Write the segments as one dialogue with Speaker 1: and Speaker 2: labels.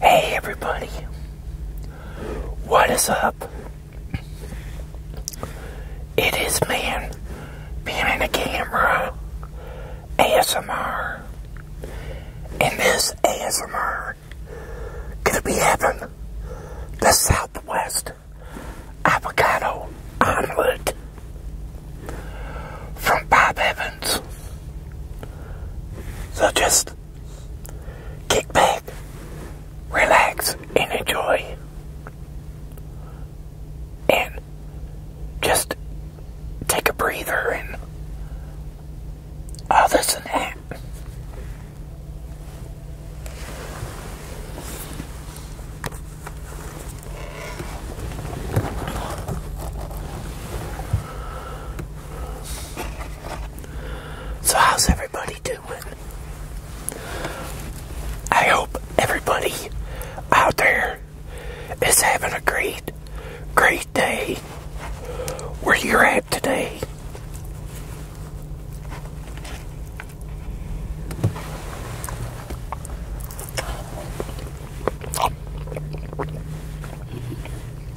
Speaker 1: Hey everybody, what is up? It is man behind the camera ASMR, and this ASMR gonna be having the Southwest avocado omelet from Bob Evans. So just kick back, relax, and enjoy. And just take a breather and all uh, this and that. So, how's everybody doing? I hope everybody out there is having a great, great day where you're at today.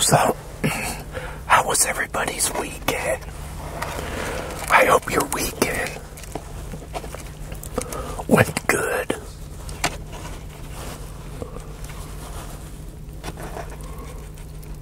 Speaker 1: So, how was everybody's weekend? I hope your weekend went good.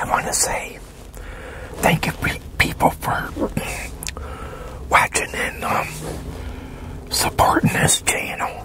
Speaker 1: I want to say thank you people for watching and um, supporting this channel.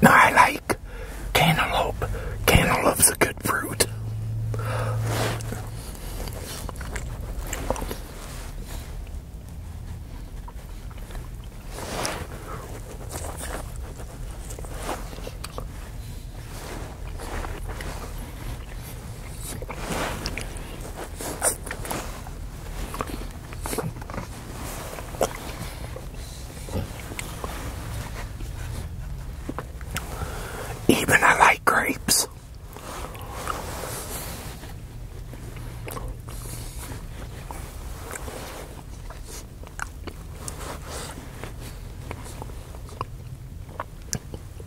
Speaker 1: Now I like cantaloupe. Cantaloupe's a good fruit. Even I like grapes.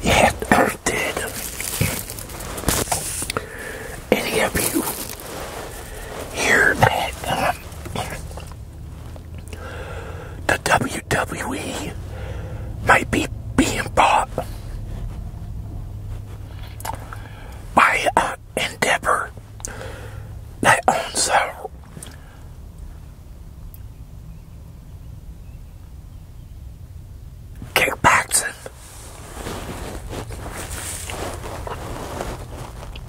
Speaker 1: Yes, I did. Any of you hear that? the WWE might be being bought by Endeavor that owns uh, Kickboxing.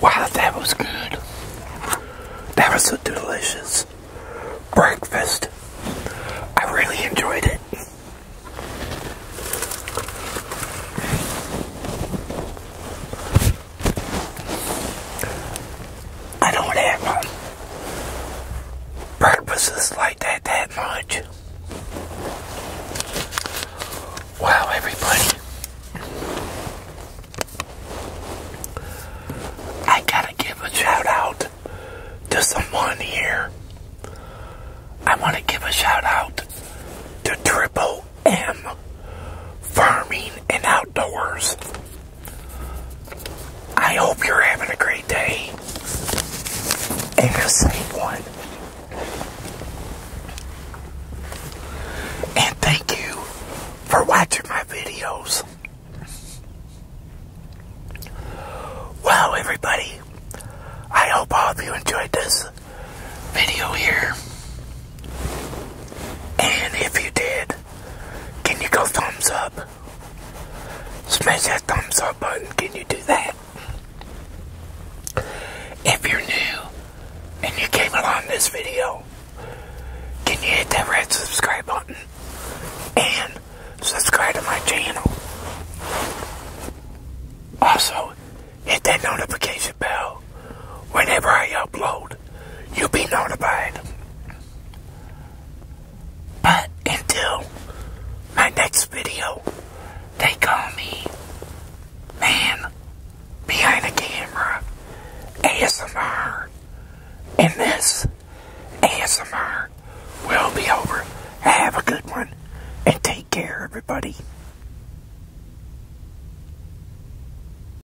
Speaker 1: Wow, that was good. That was a delicious breakfast. I really enjoyed it. I don't have um, purposes like that that much. Wow, everybody. I gotta give a shout out to someone here. I want to give a shout out to Triple M Farming and Outdoors. I hope you're having a great day and a safe one. And thank you for watching my videos. Well, everybody, I hope all of you enjoyed this video here. And if you did, can you go thumbs up? Smash that thumbs up button. Can you do that? If you're new and you came along this video, can you hit that red subscribe button and subscribe to my channel? Also, hit that notification bell whenever I upload. You'll be notified. But until my next video, they call me Man Behind the Camera ASMR. And this ASMR will be over. Have a good one and take care, everybody.